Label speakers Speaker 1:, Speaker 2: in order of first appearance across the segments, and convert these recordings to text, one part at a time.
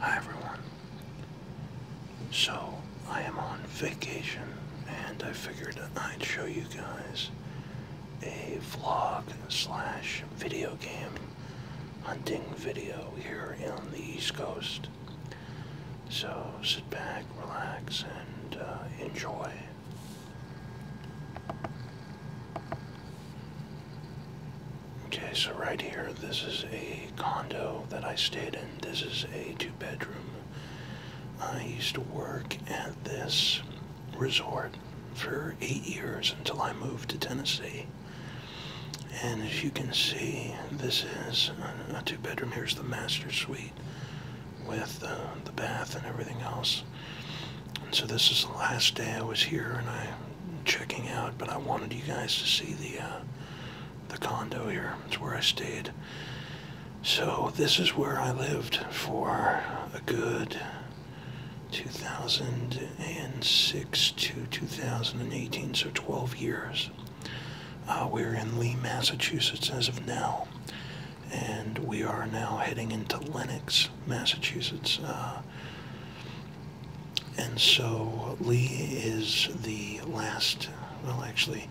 Speaker 1: Hi everyone. So, I am on vacation and I figured I'd show you guys a vlog slash video game hunting video here in the East Coast. So, sit back, relax, and uh, enjoy. Okay, so right here, this is a condo that I stayed in. This is a two bedroom. I used to work at this resort for eight years until I moved to Tennessee. And as you can see, this is a two bedroom. Here's the master suite with uh, the bath and everything else. so this is the last day I was here, and I checking out, but I wanted you guys to see the uh, the condo here. It's where I stayed. So this is where I lived for a good 2006 to 2018, so 12 years. Uh, we're in Lee, Massachusetts as of now, and we are now heading into Lenox, Massachusetts. Uh, and so Lee is the last, well, actually,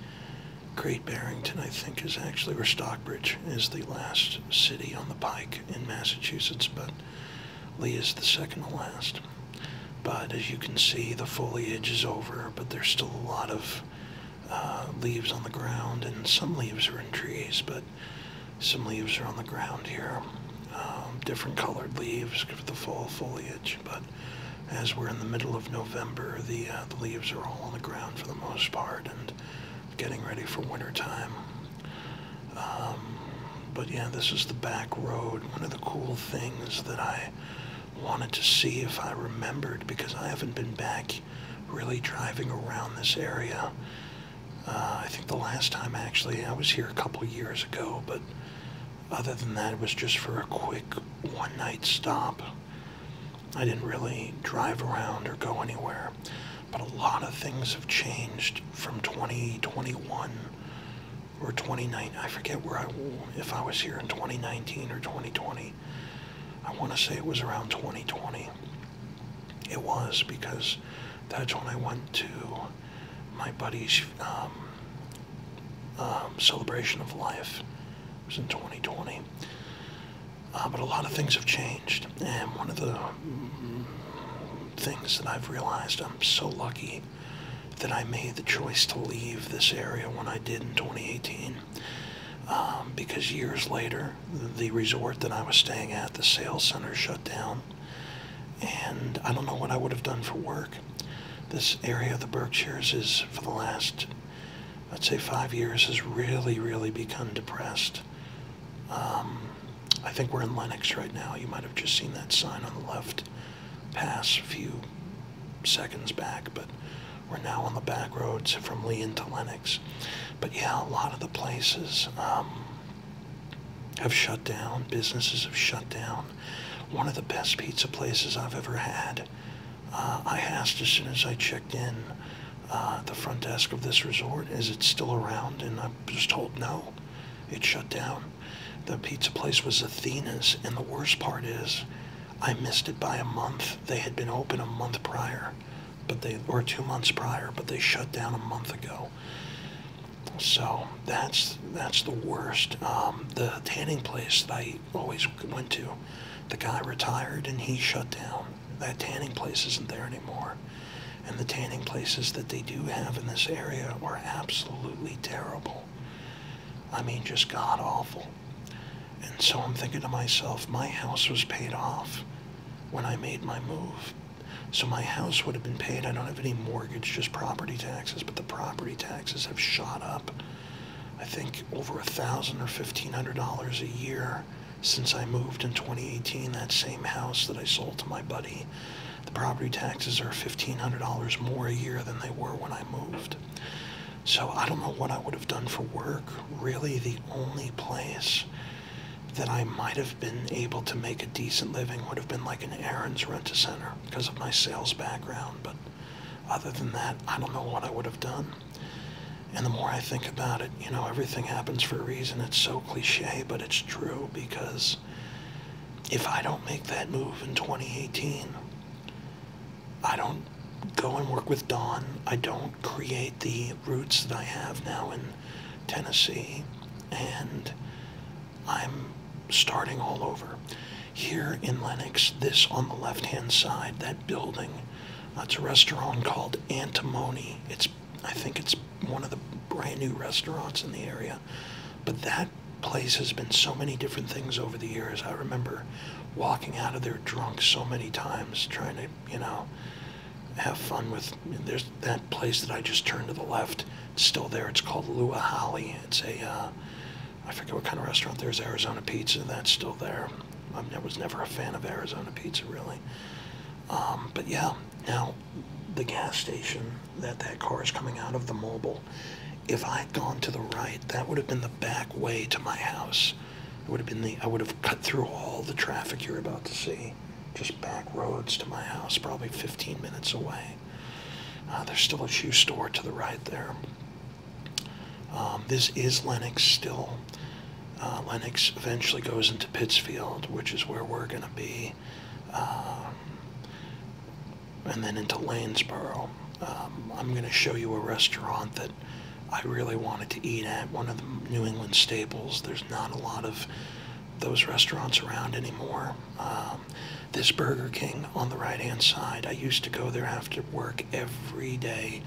Speaker 1: Great Barrington, I think, is actually, or Stockbridge is the last city on the pike in Massachusetts, but Lee is the second to last. But as you can see, the foliage is over, but there's still a lot of uh, leaves on the ground, and some leaves are in trees, but some leaves are on the ground here. Um, different colored leaves for the fall foliage, but as we're in the middle of November, the, uh, the leaves are all on the ground for the most part and getting ready for winter time. Um, but yeah, this is the back road. One of the cool things that I wanted to see if I remembered because I haven't been back really driving around this area uh, I think the last time actually I was here a couple years ago, but other than that, it was just for a quick one night stop. I didn't really drive around or go anywhere, but a lot of things have changed from 2021 or twenty-nine. I forget where I if I was here in 2019 or 2020. I want to say it was around 2020. It was because that's when I went to my buddy's um, um, celebration of life. was in 2020. Uh, but a lot of things have changed, and one of the things that I've realized I'm so lucky that I made the choice to leave this area when I did in 2018. Um, because years later, the resort that I was staying at, the sales center shut down. And I don't know what I would have done for work. This area of the Berkshires is, for the last, I'd say five years, has really, really become depressed. Um, I think we're in Lenox right now. You might have just seen that sign on the left pass a few seconds back, but we're now on the back roads from Lee into Lenox. But yeah, a lot of the places, um, have shut down, businesses have shut down. One of the best pizza places I've ever had. Uh, I asked as soon as I checked in uh, the front desk of this resort, is it still around? And I was told no, it shut down. The pizza place was Athena's, and the worst part is I missed it by a month. They had been open a month prior, but they were two months prior, but they shut down a month ago. So that's that's the worst. Um, the tanning place that I always went to, the guy retired and he shut down. That tanning place isn't there anymore. And the tanning places that they do have in this area are absolutely terrible. I mean, just god awful. And so I'm thinking to myself, my house was paid off when I made my move so my house would have been paid. I don't have any mortgage, just property taxes, but the property taxes have shot up. I think over a thousand or fifteen hundred dollars a year since I moved in 2018. That same house that I sold to my buddy, the property taxes are fifteen hundred dollars more a year than they were when I moved. So I don't know what I would have done for work. Really, the only place that I might have been able to make a decent living would have been like an Aaron's rent a center because of my sales background. But other than that, I don't know what I would have done. And the more I think about it, you know, everything happens for a reason. It's so cliche, but it's true because if I don't make that move in 2018, I don't go and work with Don. I don't create the roots that I have now in Tennessee and I'm starting all over. Here in Lenox, this on the left hand side, that building, uh, it's a restaurant called Antimony. It's, I think it's one of the brand new restaurants in the area. But that place has been so many different things over the years. I remember walking out of there drunk so many times trying to, you know, have fun with there's that place that I just turned to the left. It's still there. It's called Lua Holly. It's a uh, I forget what kind of restaurant. There's Arizona Pizza. That's still there. i was never a fan of Arizona Pizza really. Um, but yeah, now the gas station that that car is coming out of, the mobile. If I'd gone to the right, that would have been the back way to my house. It would have been the I would have cut through all the traffic you're about to see just back roads to my house, probably 15 minutes away. Uh, there's still a shoe store to the right there. Um, this is Lenox still. Uh, Lenox eventually goes into Pittsfield, which is where we're going to be, um, and then into Lanesboro. Um, I'm going to show you a restaurant that I really wanted to eat at, one of the New England staples. There's not a lot of those restaurants around anymore. Um, this Burger King on the right hand side, I used to go there after work every day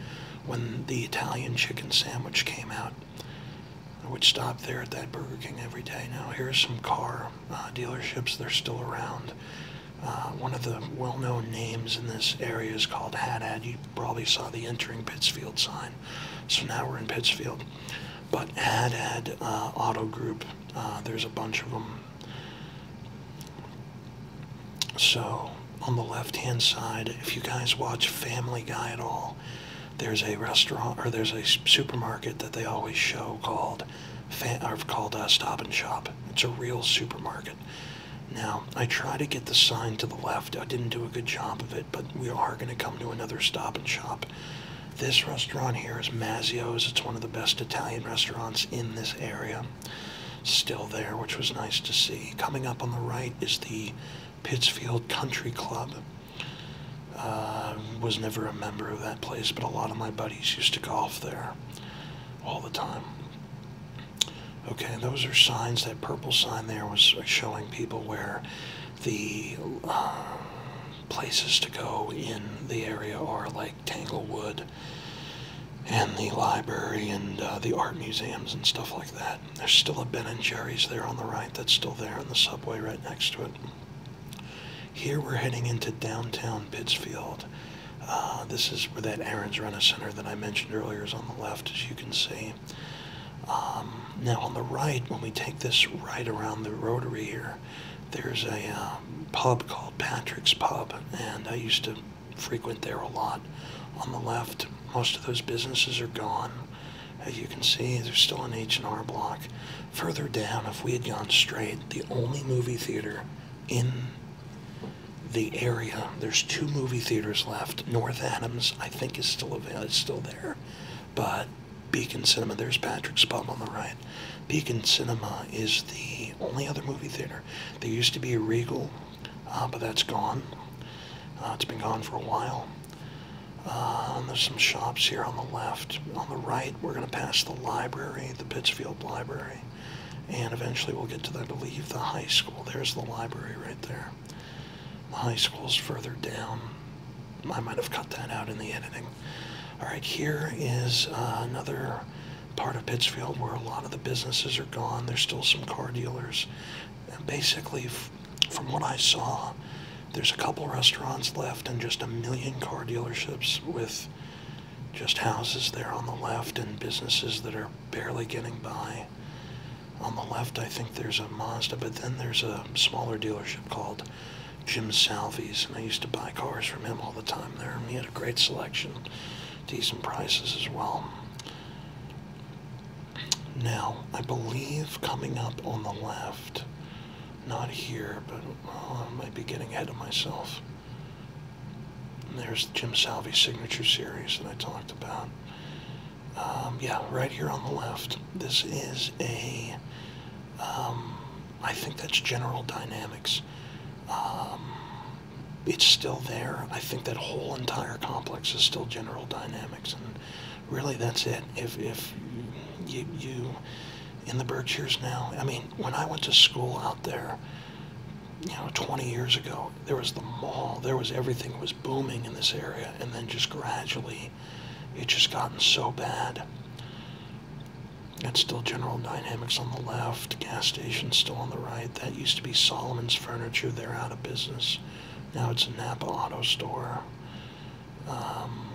Speaker 1: when the Italian chicken sandwich came out. I would stop there at that Burger King every day. Now, here's some car uh, dealerships, they're still around. Uh, one of the well-known names in this area is called Haddad. You probably saw the entering Pittsfield sign. So now we're in Pittsfield. But Ad Ad uh, Auto Group, uh, there's a bunch of them. So on the left-hand side, if you guys watch Family Guy at all, there's a restaurant or there's a supermarket that they always show called or called a uh, Stop and Shop. It's a real supermarket. Now I try to get the sign to the left. I didn't do a good job of it but we are going to come to another stop and shop. This restaurant here is Mazio's. It's one of the best Italian restaurants in this area. Still there, which was nice to see. Coming up on the right is the Pittsfield Country Club. Uh, was never a member of that place, but a lot of my buddies used to golf there all the time. Okay, those are signs. That purple sign there was showing people where the um, places to go in the area are like Tanglewood and the library and uh, the art museums and stuff like that. There's still a Ben and Jerry's there on the right that's still there in the subway right next to it. Here we're heading into downtown Pittsfield. Uh, this is where that Aaron's Rena Center that I mentioned earlier is on the left, as you can see. Um, now on the right, when we take this right around the rotary here, there's a um, pub called Patrick's Pub, and I used to frequent there a lot. On the left, most of those businesses are gone. As you can see, there's still an H&R block. Further down, if we had gone straight, the only movie theater in the area, there's two movie theaters left. North Adams, I think, is still available, it's still there, but Beacon Cinema. There's Patrick's Pub on the right. Beacon Cinema is the only other movie theater. There used to be a Regal, uh, but that's gone. Uh, it's been gone for a while. Uh, there's some shops here on the left. On the right, we're going to pass the library, the Pittsfield Library. And eventually we'll get to, the I the high school. There's the library right there. The high school's further down. I might have cut that out in the editing. All right, here is uh, another part of Pittsfield where a lot of the businesses are gone. There's still some car dealers. basically, from what I saw, there's a couple restaurants left and just a million car dealerships with just houses there on the left and businesses that are barely getting by. On the left, I think there's a Mazda, but then there's a smaller dealership called Jim Salvi's, and I used to buy cars from him all the time there. And he had a great selection, decent prices as well. Now, I believe coming up on the left, not here, but uh, I might be getting ahead of myself. There's Jim Salvi signature series that I talked about. Um, yeah, right here on the left. This is a, um, I think that's General Dynamics. Um, it's still there. I think that whole entire complex is still General Dynamics, and really that's it. If if you you in the Berkshires now, I mean, when I went to school out there, you know, 20 years ago, there was the mall, there was everything was booming in this area, and then just gradually it's just gotten so bad. It's still General Dynamics on the left, gas station still on the right. That used to be Solomon's Furniture. They're out of business. Now it's an Napa Auto Store. Um,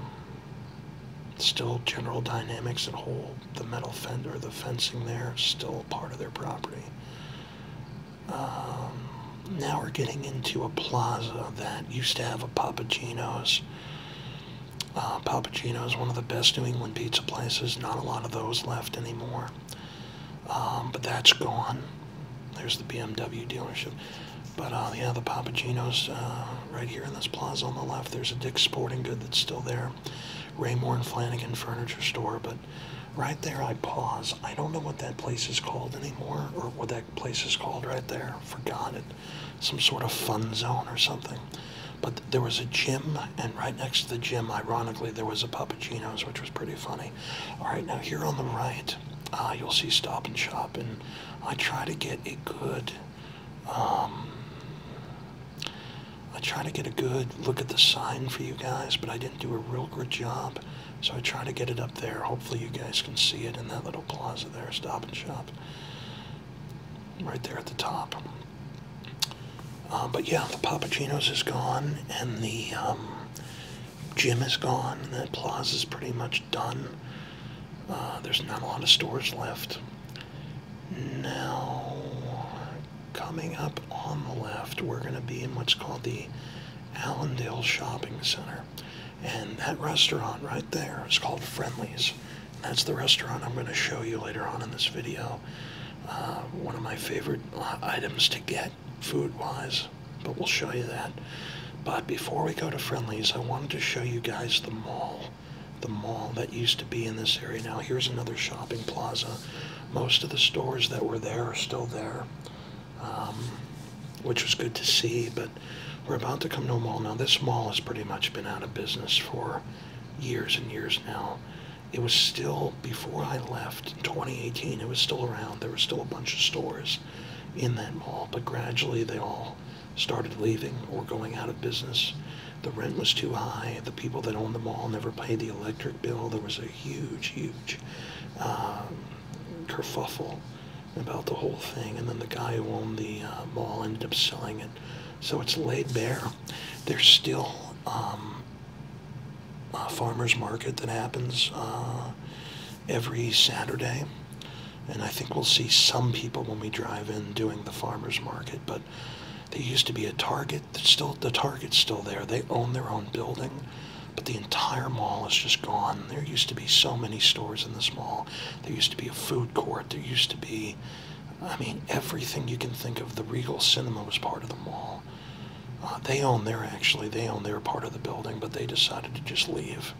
Speaker 1: still General Dynamics and whole the metal fender, the fencing there, still part of their property. Um, now we're getting into a plaza that used to have a Papagino's. Uh, Papagino's, one of the best New England pizza places. Not a lot of those left anymore. Um, but that's gone. There's the BMW dealership. But uh, yeah, the Papagino's uh, right here in this plaza on the left. There's a Dick's Sporting Good that's still there. Raymore and Flanagan Furniture Store. But right there I pause. I don't know what that place is called anymore or what that exact place is called right there. Forgot it. Some sort of fun zone or something. But there was a gym, and right next to the gym, ironically, there was a Papagino's, which was pretty funny. All right, now here on the right, uh, you'll see Stop and Shop, and I try to get a good, um, I try to get a good look at the sign for you guys, but I didn't do a real good job. So I try to get it up there. Hopefully you guys can see it in that little plaza there, Stop and Shop, right there at the top. Uh, but yeah, the Papagino's is gone, and the um, gym is gone, and plaza is pretty much done. Uh, there's not a lot of stores left. Now, coming up on the left, we're going to be in what's called the Allendale Shopping Center. And that restaurant right there is called Friendly's. That's the restaurant I'm going to show you later on in this video. Uh, one of my favorite items to get food-wise, but we'll show you that. But before we go to Friendly's, I wanted to show you guys the mall. The mall that used to be in this area. Now here's another shopping plaza. Most of the stores that were there are still there. Um, which was good to see. But we're about to come to a mall now. This mall has pretty much been out of business for years and years now. It was still, before I left in 2018, it was still around. There were still a bunch of stores in that mall, but gradually they all started leaving or going out of business. The rent was too high. The people that owned the mall never paid the electric bill. There was a huge, huge um, kerfuffle about the whole thing. And then the guy who owned the uh, mall ended up selling it. So it's laid bare. There's still um, a farmer's market that happens uh, every Saturday. And I think we'll see some people when we drive in doing the farmer's market. But there used to be a Target. That's still The Target's still there. They own their own building but the entire mall is just gone. There used to be so many stores in this mall. There used to be a food court. There used to be, I mean, everything you can think of. The Regal Cinema was part of the mall. Uh, they own their, actually, they own their part of the building, but they decided to just leave.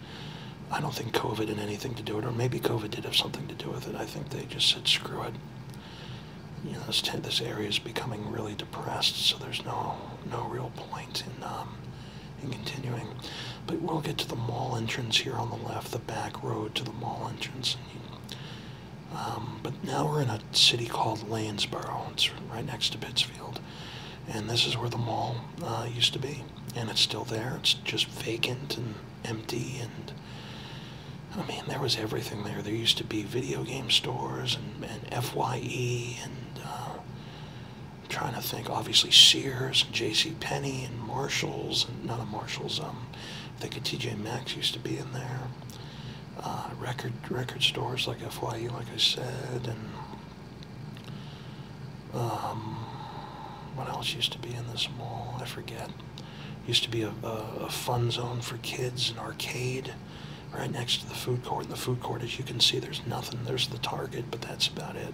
Speaker 1: I don't think COVID had anything to do with it, or maybe COVID did have something to do with it. I think they just said, screw it. You know, this, area is becoming really depressed, so there's no, no real point point in, um, in continuing. But we'll get to the mall entrance here on the left, the back road to the mall entrance. Um, but now we're in a city called Lanesboro. It's right next to Pittsfield. And this is where the mall uh, used to be. And it's still there. It's just vacant and empty. And I mean, there was everything there. There used to be video game stores and, and FYE and uh, I'm trying to think, obviously Sears, and J.C. Penney, and Marshalls, and not a Marshalls. Um, I think a T.J. Maxx used to be in there. Uh, record record stores like FYU, like I said, and um, what else used to be in this mall? I forget. Used to be a, a, a fun zone for kids, and arcade right next to the food court. And the food court, as you can see, there's nothing. There's the Target, but that's about it.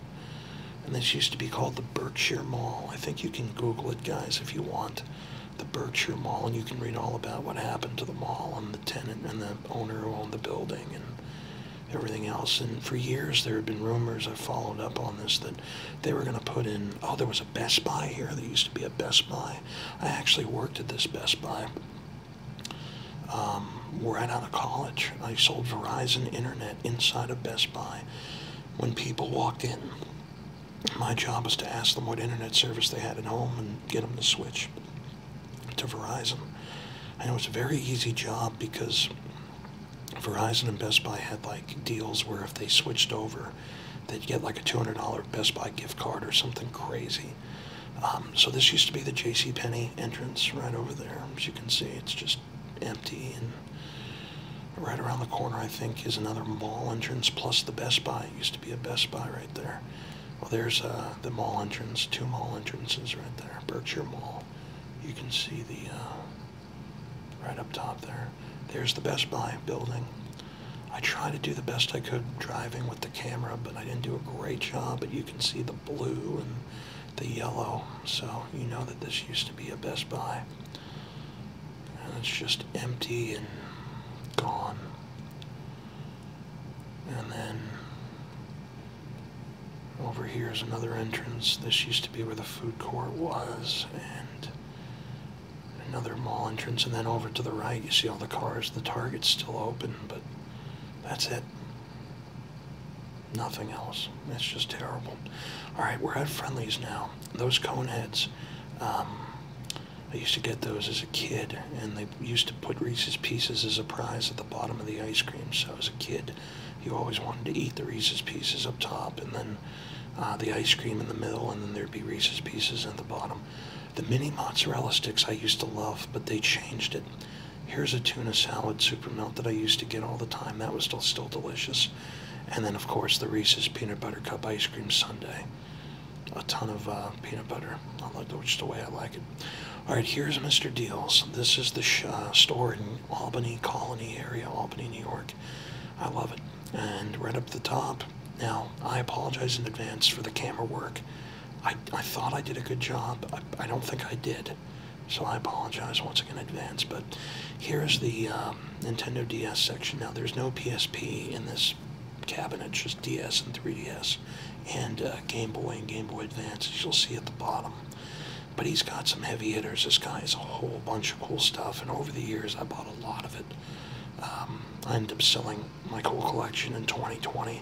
Speaker 1: And this used to be called the Berkshire Mall. I think you can Google it, guys, if you want. The Berkshire Mall, and you can read all about what happened to the mall and the tenant and the owner who owned the building and everything else. And for years, there had been rumors I followed up on this that they were going to put in. Oh, there was a Best Buy here. There used to be a Best Buy. I actually worked at this Best Buy um, right out of college, I sold Verizon Internet inside of Best Buy. When people walked in, my job was to ask them what internet service they had at home and get them to switch to Verizon. And it was a very easy job because Verizon and Best Buy had like deals where if they switched over, they'd get like a $200 Best Buy gift card or something crazy. Um, so this used to be the J.C. Penney entrance right over there. As you can see, it's just empty. And right around the corner, I think, is another mall entrance plus the Best Buy. It used to be a Best Buy right there. Well, there's uh, the mall entrance, two mall entrances right there, Berkshire Mall. You can see the, uh, right up top there. There's the Best Buy building. I tried to do the best I could driving with the camera, but I didn't do a great job, but you can see the blue and the yellow, so you know that this used to be a Best Buy. And it's just empty and gone. And then over here is another entrance. This used to be where the food court was, and another mall entrance. And then over to the right, you see all the cars. The Target's still open, but that's it. Nothing else. It's just terrible. All right, we're at friendlies now. Those cone heads. Um, I used to get those as a kid, and they used to put Reese's Pieces as a prize at the bottom of the ice cream. So as a kid, you always wanted to eat the Reese's Pieces up top, and then uh, the ice cream in the middle, and then there'd be Reese's Pieces at the bottom. The mini mozzarella sticks I used to love, but they changed it. Here's a tuna salad super melt that I used to get all the time. That was still, still delicious. And then, of course, the Reese's Peanut Butter Cup Ice Cream Sundae. A ton of uh, peanut butter. I like it, just the way I like it. All right, here's Mr. Deals. This is the uh, store in Albany, Colony area, Albany, New York. I love it. And right up the top, now, I apologize in advance for the camera work. I, I thought I did a good job. I, I don't think I did. So I apologize once again in advance. But here is the um, Nintendo DS section. Now, there's no PSP in this cabinet, just DS and 3DS. And uh, Game Boy and Game Boy Advance, as you'll see at the bottom but he's got some heavy hitters. This guy has a whole bunch of cool stuff, and over the years I bought a lot of it. Um, I end up selling my cool collection in 2020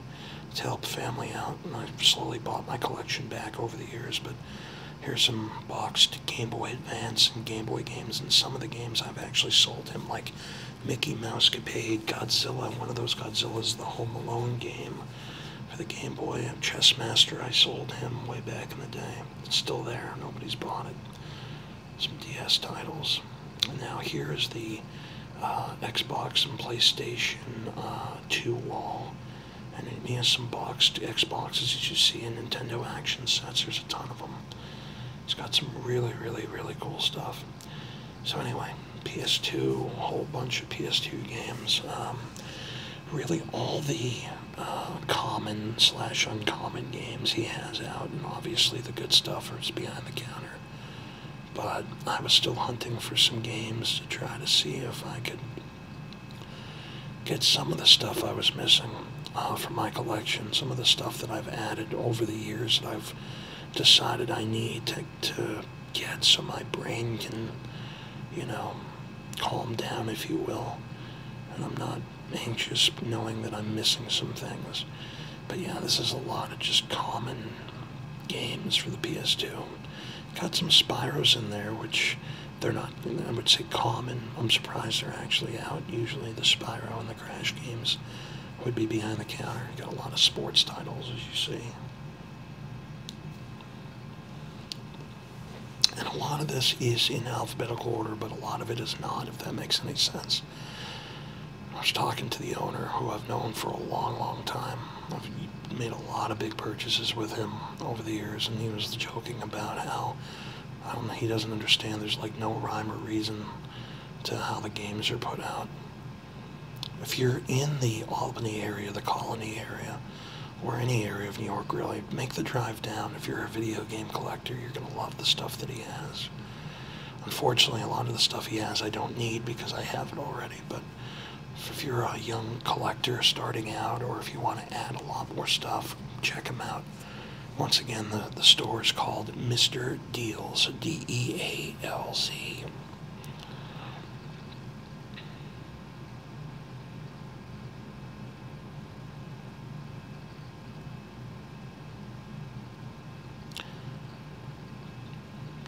Speaker 1: to help family out. And I've slowly bought my collection back over the years, but here's some boxed Game Boy Advance and Game Boy games, and some of the games I've actually sold him, like Mickey Mouse Capade, Godzilla, one of those Godzillas, the Home Alone game for the Game Boy, Chess Master, I sold him way back in the day. It's still there, nobody's bought it. Some DS titles. Now here is the uh, Xbox and PlayStation uh, 2 wall. And he has some boxed Xboxes as you see in Nintendo action sets. There's a ton of them. It's got some really, really, really cool stuff. So anyway, PS2, a whole bunch of PS2 games. Um, really all the uh, common slash uncommon games he has out, and obviously the good stuff is behind the counter but I was still hunting for some games to try to see if I could get some of the stuff I was missing uh, from my collection, some of the stuff that I've added over the years that I've decided I need to, to get so my brain can, you know, calm down, if you will, and I'm not anxious knowing that I'm missing some things. But yeah, this is a lot of just common games for the PS2. Got some Spyros in there, which they're not, I would say, common. I'm surprised they're actually out. Usually the Spyro and the Crash games would be behind the counter. Got a lot of sports titles, as you see. And a lot of this is in alphabetical order, but a lot of it is not, if that makes any sense. I was talking to the owner, who I've known for a long, long time. I've made a lot of big purchases with him over the years, and he was joking about how I don't know, he doesn't understand. There's like no rhyme or reason to how the games are put out. If you're in the Albany area, the Colony area, or any area of New York really, make the drive down. If you're a video game collector, you're going to love the stuff that he has. Unfortunately, a lot of the stuff he has I don't need because I have it already. But if you're a young collector starting out or if you want to add a lot more stuff, check him out. Once again, the, the store is called Mr. Deals, D E A L Z.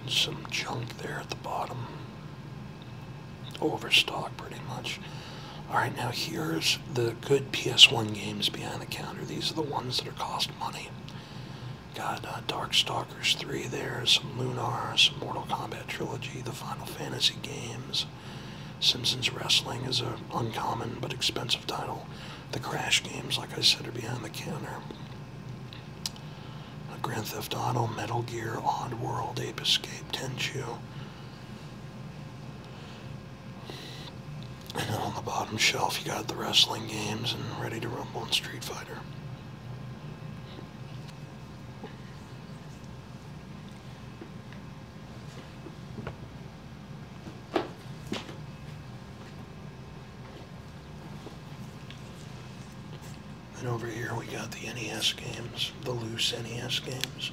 Speaker 1: Some junk there at the bottom. Overstock, pretty much. Alright, now here's the good PS1 games behind the counter. These are the ones that are cost money. Got uh, Darkstalkers 3 there, some Lunar, some Mortal Kombat Trilogy, the Final Fantasy games. Simpsons Wrestling is an uncommon but expensive title. The Crash games, like I said, are behind the counter. Grand Theft Auto, Metal Gear, Odd World, Ape Escape, Tenchu. And then on the bottom shelf, you got the wrestling games and Ready to Rumble and Street Fighter. And over here we got the NES games, the loose NES games.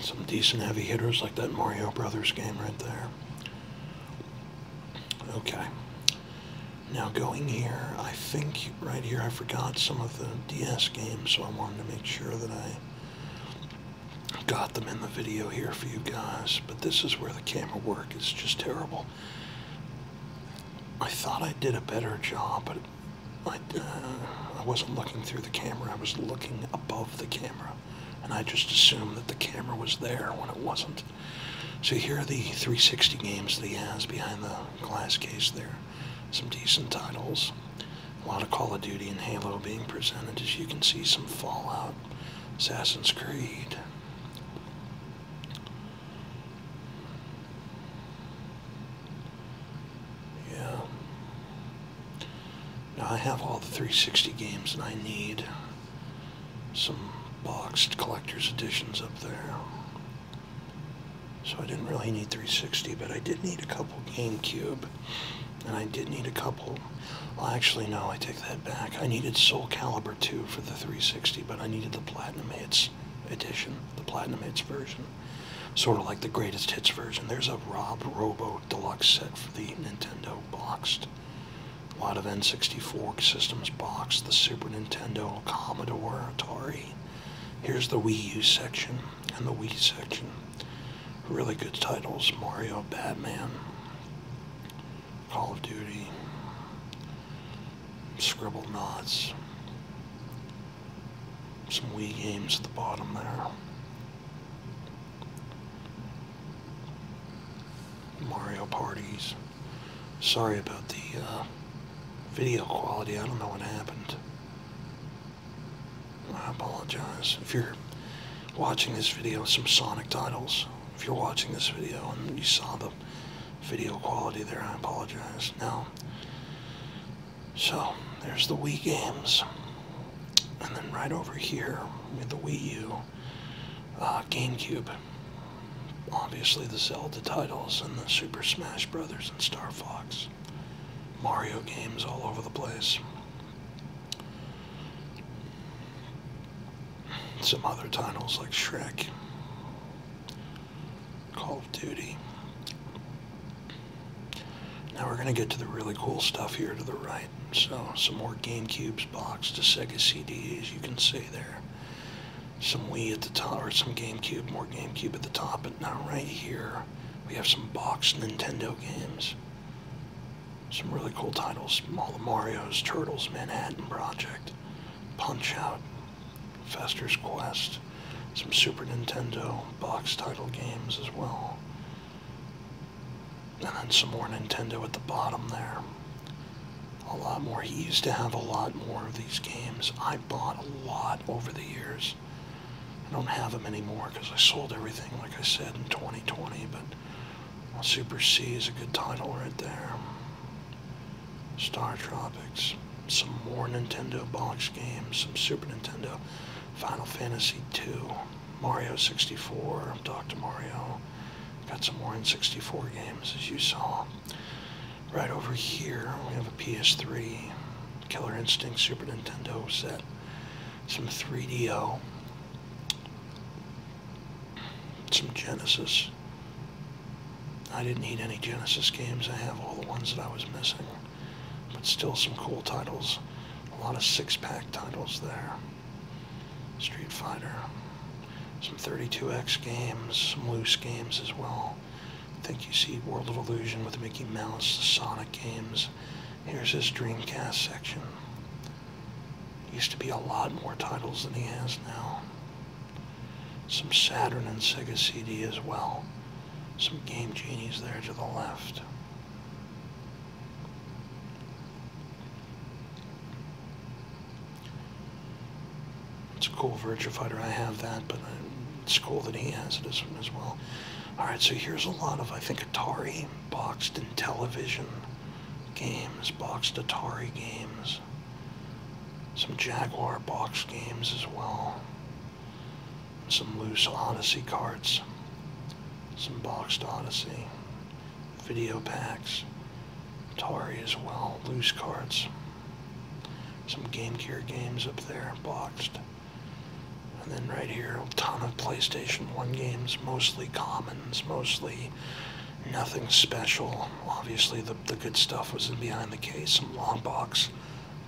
Speaker 1: Some decent heavy hitters like that Mario Brothers game right there. Okay. Now going here, I think right here I forgot some of the DS games, so I wanted to make sure that I got them in the video here for you guys. But this is where the camera work is just terrible. I thought I did a better job, but I, uh, I wasn't looking through the camera. I was looking above the camera, and I just assumed that the camera was there when it wasn't. So here are the 360 games that he has behind the glass case there. Some decent titles. A lot of Call of Duty and Halo being presented as you can see some Fallout, Assassin's Creed. Yeah. Now I have all the 360 games that I need some boxed collector's editions up there. So I didn't really need 360, but I did need a couple GameCube. And I did need a couple, well actually no, I take that back. I needed Soul Calibur 2 for the 360, but I needed the Platinum Hits edition, the Platinum Hits version. Sort of like the Greatest Hits version. There's a Rob Robo Deluxe set for the Nintendo boxed a lot of N64 systems boxed, the Super Nintendo, Commodore, Atari. Here's the Wii U section and the Wii section. Really good titles, Mario, Batman, Call of Duty, Scribble Knots, some Wii games at the bottom there. Mario parties. Sorry about the uh, video quality. I don't know what happened. I apologize. If you're watching this video, some Sonic titles. If you're watching this video and you saw the video quality there, I apologize. Now, so there's the Wii games. And then right over here with the Wii U, uh, GameCube, obviously the Zelda titles and the Super Smash Brothers and Star Fox, Mario games all over the place. Some other titles like Shrek, Call of Duty. Now we're going to get to the really cool stuff here to the right. So some more GameCubes box, to Sega CD, as you can see there some Wii at the top, or some GameCube, more GameCube at the top, but now right here we have some boxed Nintendo games. Some really cool titles, all the Mario's, Turtles, Manhattan Project, Punch-Out, Fester's Quest, some Super Nintendo boxed title games as well. And then some more Nintendo at the bottom there a lot more. He used to have a lot more of these games. I bought a lot over the years. I don't have them anymore because I sold everything, like I said, in 2020. But Super C is a good title right there. Star Troopers. Some more Nintendo box games. Some Super Nintendo. Final Fantasy II. Mario 64. Dr. Mario. Got some more N64 games, as you saw. Right over here, we have a PS3, Killer Instinct Super Nintendo set, some 3DO, some Genesis. I didn't need any Genesis games. I have all the ones that I was missing. But still some cool titles. A lot of six-pack titles there. Street Fighter, some 32X games, some loose games as well. I think you see World of Illusion with Mickey Mouse, the Sonic games. Here's his Dreamcast section. Used to be a lot more titles than he has now. Some Saturn and Sega CD as well. Some Game Genies there to the left. It's a cool Virtua Fighter. I have that, but it's cool that he has it as, as well. Alright, so here's a lot of, I think, Atari boxed and television games, boxed Atari games, some Jaguar boxed games as well, some loose Odyssey cards, some boxed Odyssey, video packs, Atari as well, loose cards, some Game Gear games up there, boxed. And then right here, a ton of PlayStation 1 games, mostly commons, mostly nothing special. Obviously, the, the good stuff was in behind the case, some long box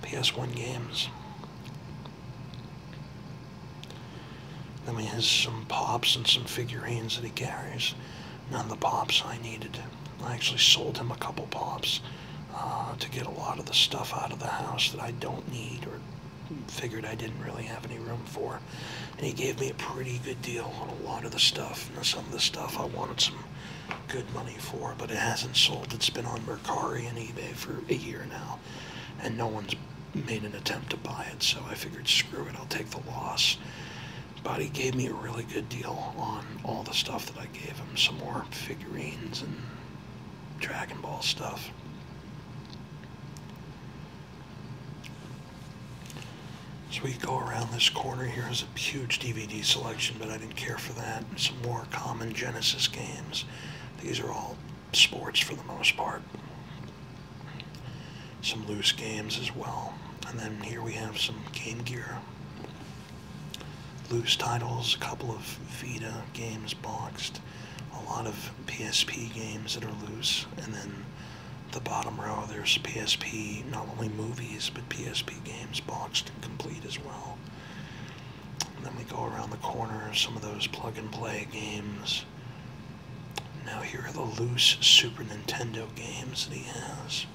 Speaker 1: PS1 games. Then he has some pops and some figurines that he carries none of the pops I needed. I actually sold him a couple pops uh, to get a lot of the stuff out of the house that I don't need or figured I didn't really have any room for. And he gave me a pretty good deal on a lot of the stuff. And some of the stuff I wanted some good money for, but it hasn't sold. It's been on Mercari and eBay for a year now. And no one's made an attempt to buy it, so I figured, screw it, I'll take the loss. But he gave me a really good deal on all the stuff that I gave him. Some more figurines and Dragon Ball stuff. So we go around this corner here. here is a huge DVD selection, but I didn't care for that. Some more common Genesis games. These are all sports for the most part some loose games as well. And then here we have some Game Gear loose titles, a couple of Vita games boxed, a lot of PSP games that are loose, and then the bottom row there's PSP, not only movies, but PSP games boxed and complete as well. then we go around the corner, some of those plug and play games, now here are the loose Super Nintendo games that he has.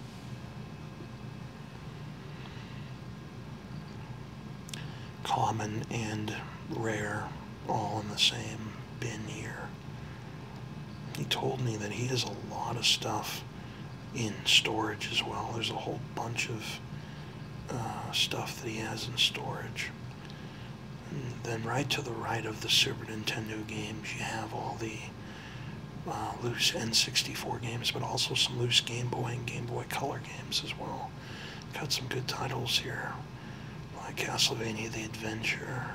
Speaker 1: Common and rare, all in the same bin here. He told me that he has a lot of stuff in storage as well. There's a whole bunch of uh, stuff that he has in storage. Then right to the right of the Super Nintendo games, you have all the uh, loose N64 games, but also some loose Game Boy and Game Boy Color games as well. Got some good titles here, like Castlevania The Adventure,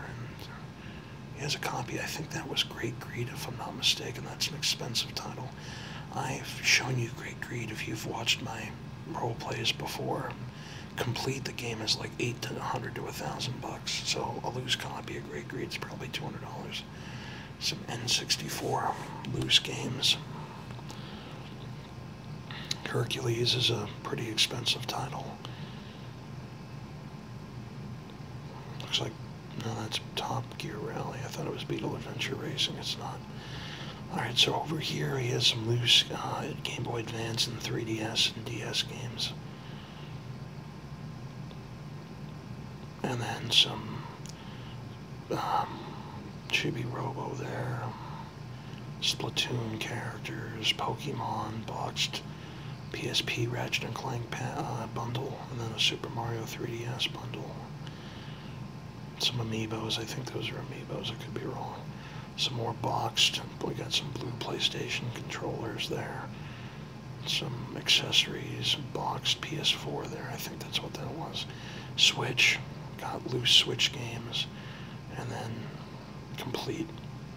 Speaker 1: and he a copy, I think that was Great Greed, if I'm not mistaken. That's an expensive title. I've shown you Great Greed if you've watched my role plays before complete the game is like eight to a hundred to a thousand bucks. So a loose copy of Great Greed's probably two hundred dollars. Some N64 loose games. Hercules is a pretty expensive title. Looks like no, that's Top Gear Rally. I thought it was Beetle Adventure Racing. It's not. Alright, so over here he has some loose uh, Game Boy Advance and 3DS and DS games. And then some um, Chibi Robo there. Splatoon characters, Pokemon, boxed PSP Ratchet and Clank uh, bundle, and then a Super Mario 3DS bundle. Some amiibos, I think those are amiibos, I could be wrong some more boxed. We got some blue PlayStation controllers there, some accessories, some boxed PS4 there. I think that's what that was. Switch, got loose Switch games, and then complete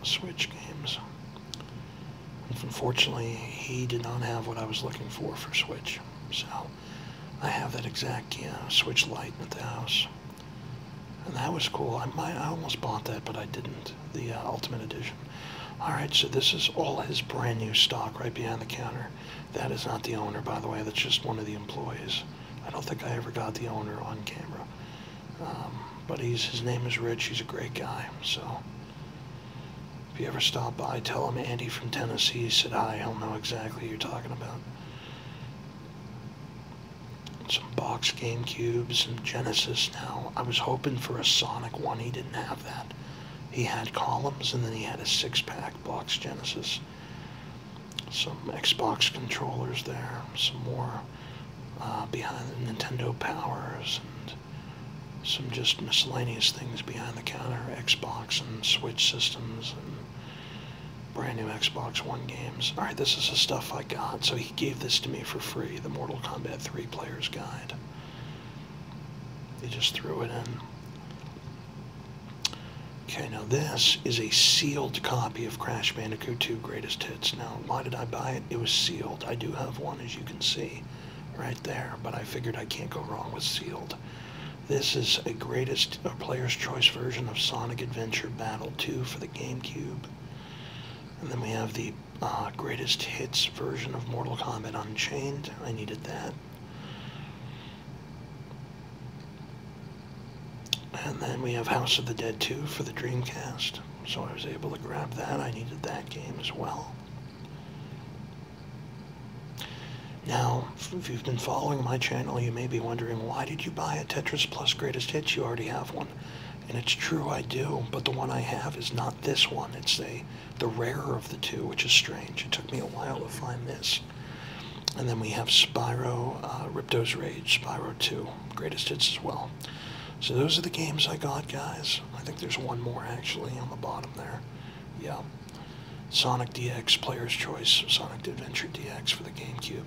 Speaker 1: Switch games. Unfortunately, he did not have what I was looking for for Switch, so I have that exact Switch light at the house. And that was cool. I I almost bought that, but I didn't. The uh, Ultimate Edition. All right, so this is all his brand new stock right behind the counter. That is not the owner, by the way. That's just one of the employees. I don't think I ever got the owner on camera. Um, but he's his name is Rich. He's a great guy. So if you ever stop by, tell him Andy from Tennessee said hi. He'll know exactly who you're talking about some box game cubes and Genesis now. I was hoping for a Sonic one. He didn't have that. He had columns and then he had a six pack box Genesis. Some Xbox controllers there, some more uh, behind the Nintendo Powers, and some just miscellaneous things behind the counter Xbox and Switch systems and brand new Xbox One games. Alright, this is the stuff I. God. So he gave this to me for free, the Mortal Kombat 3 Player's Guide. They just threw it in. Okay, now this is a sealed copy of Crash Bandicoot 2 Greatest Hits. Now, why did I buy it? It was sealed. I do have one, as you can see, right there, but I figured I can't go wrong with sealed. This is a greatest a player's choice version of Sonic Adventure Battle 2 for the GameCube. And then we have the uh, greatest hits version of Mortal Kombat Unchained. I needed that. And then we have House of the Dead 2 for the Dreamcast. So I was able to grab that. I needed that game as well. Now, if you've been following my channel, you may be wondering, why did you buy a Tetris Plus Greatest Hits? You already have one. And it's true, I do, but the one I have is not this one. It's the the rarer of the two, which is strange. It took me a while to find this. And then we have Spyro, uh, Ripto's Rage, Spyro 2, Greatest Hits as well. So those are the games I got, guys. I think there's one more, actually, on the bottom there. Yeah. Sonic DX, Player's Choice, Sonic Adventure DX for the GameCube.